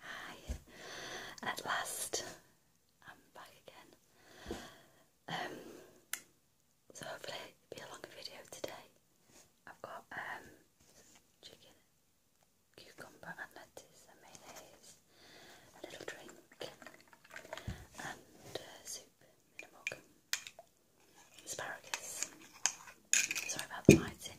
Hi, at last I'm back again. Um, so hopefully it'll be a longer video today. I've got um, chicken, cucumber lettuce mayonnaise, little drink and uh, soup in asparagus. Sorry about the lighting.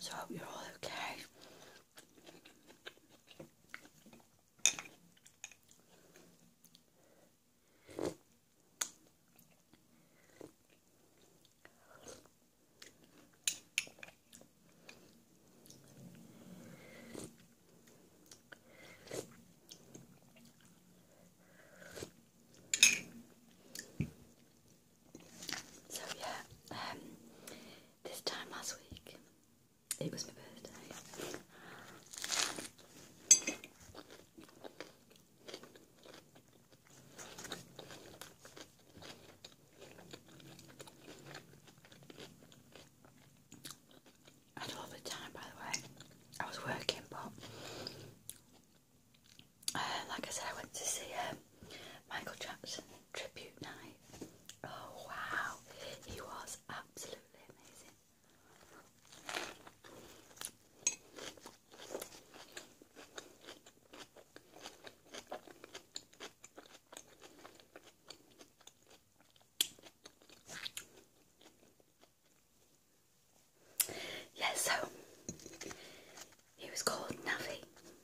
So I hope you're all okay. So yeah, um, this time last week it was my birthday. I had a lovely time, by the way. I was working, but uh, like I said, I went to see uh, Michael Jackson tribute night. Oh wow, he was absolutely amazing. Yeah, so he was called Navi.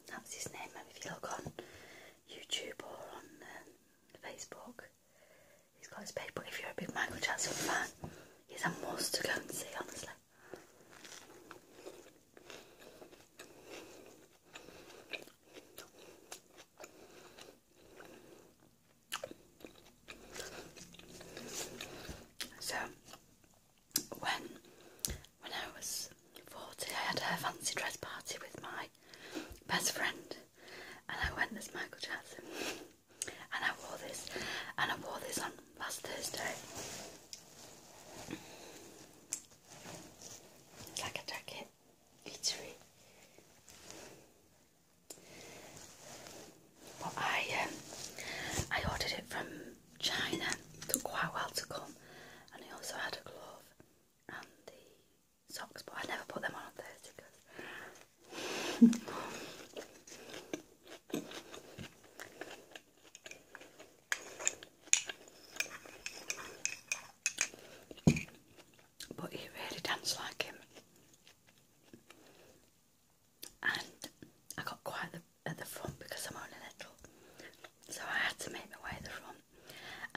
That's his name. if you look on YouTube or on um, Facebook, he's got his page. But if you're a big Michael Jackson fan, he's a must to go and see, honestly. So when when I was forty, I had a fancy dress party with my best friend, and I went as Michael Jackson, and I wore this, and I wore this on last Thursday. It's like a jacket, glittery. But I um, I ordered it from China. It took quite a while to come, and I also had a glove and the socks, but I never put them on on Thursday because but he really danced like him. And I got quite at the front because I'm only little, so I had to make my way at the front.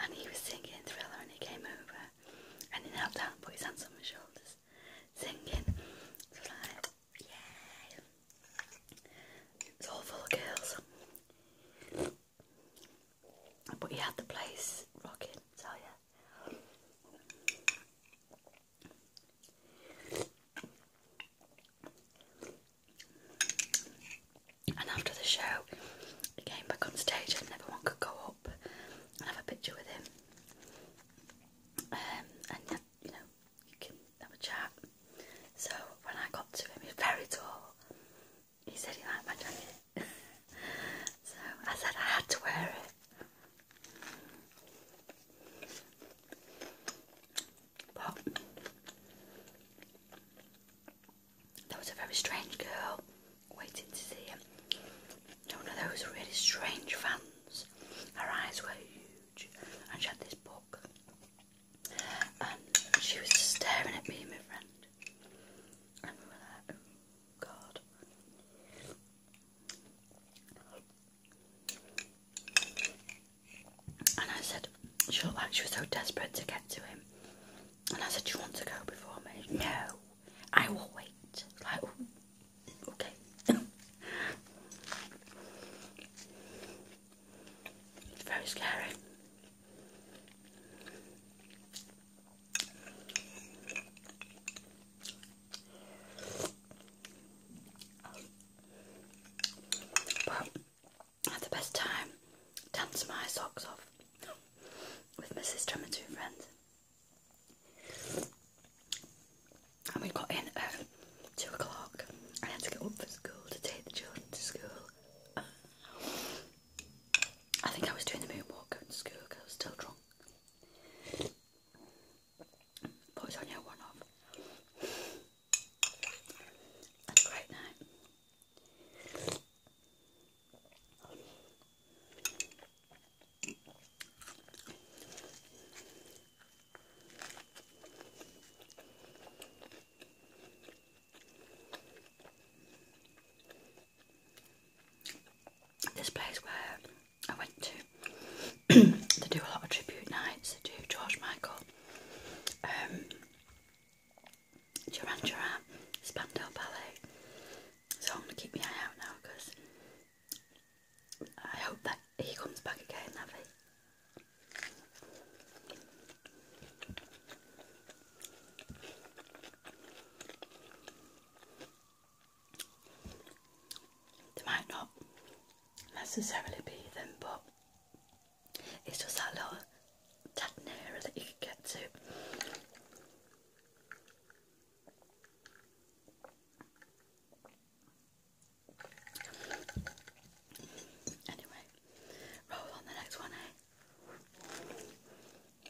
And he was singing Thriller, and he came over and he knelt down put his hands on my shoulders, singing. it's all full of girls. But he had the place rocking, tell you. And after the show, he came back on stage and everyone could go up and have a picture with him. Um, and uh, you know, you can have a chat. So when I got to him, he was very tall. He said he liked my jacket so I said I had to wear it. But there was a very strange girl waiting to see him. One of those really strange fans. Her eyes were huge, and she had this book, and she was staring at me and my friend, and we were and I said, she looked like she was so desperate to get to him. And I said, Do you want to go before me? No, I will wait. Like, okay. it's very scary. I had the best time dancing my socks off with Mrs. sister two friends. And we got in at two o'clock. I had to get up for school to take the children to school. I think I was doing the moonwalk going to school because I was still drunk. Put it on your one off. That's great night. This place where I went to, they do a lot of tribute nights. They do George Michael, um, Duran Duran, Spandau Ballet. So I'm gonna keep my eye out now because I hope that he comes back again, have they might not necessarily be them, but it's just that little tad nearer that you can get to. Anyway, roll on the next one, eh?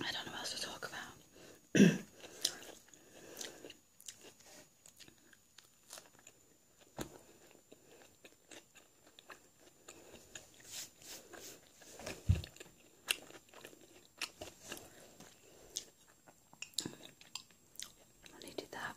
I don't know else to talk about. I needed that.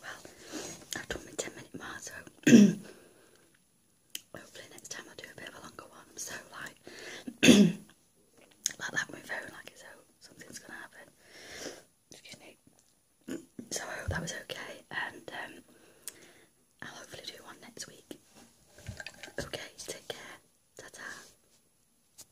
Well, I've done 10 minute mark, so hopefully next time i do a bit of a longer one. so like, like that with my like it's so something's gonna happen. Excuse me. So hope that was okay, and um, I'll hopefully do one next week. Okay, take care. Ta ta.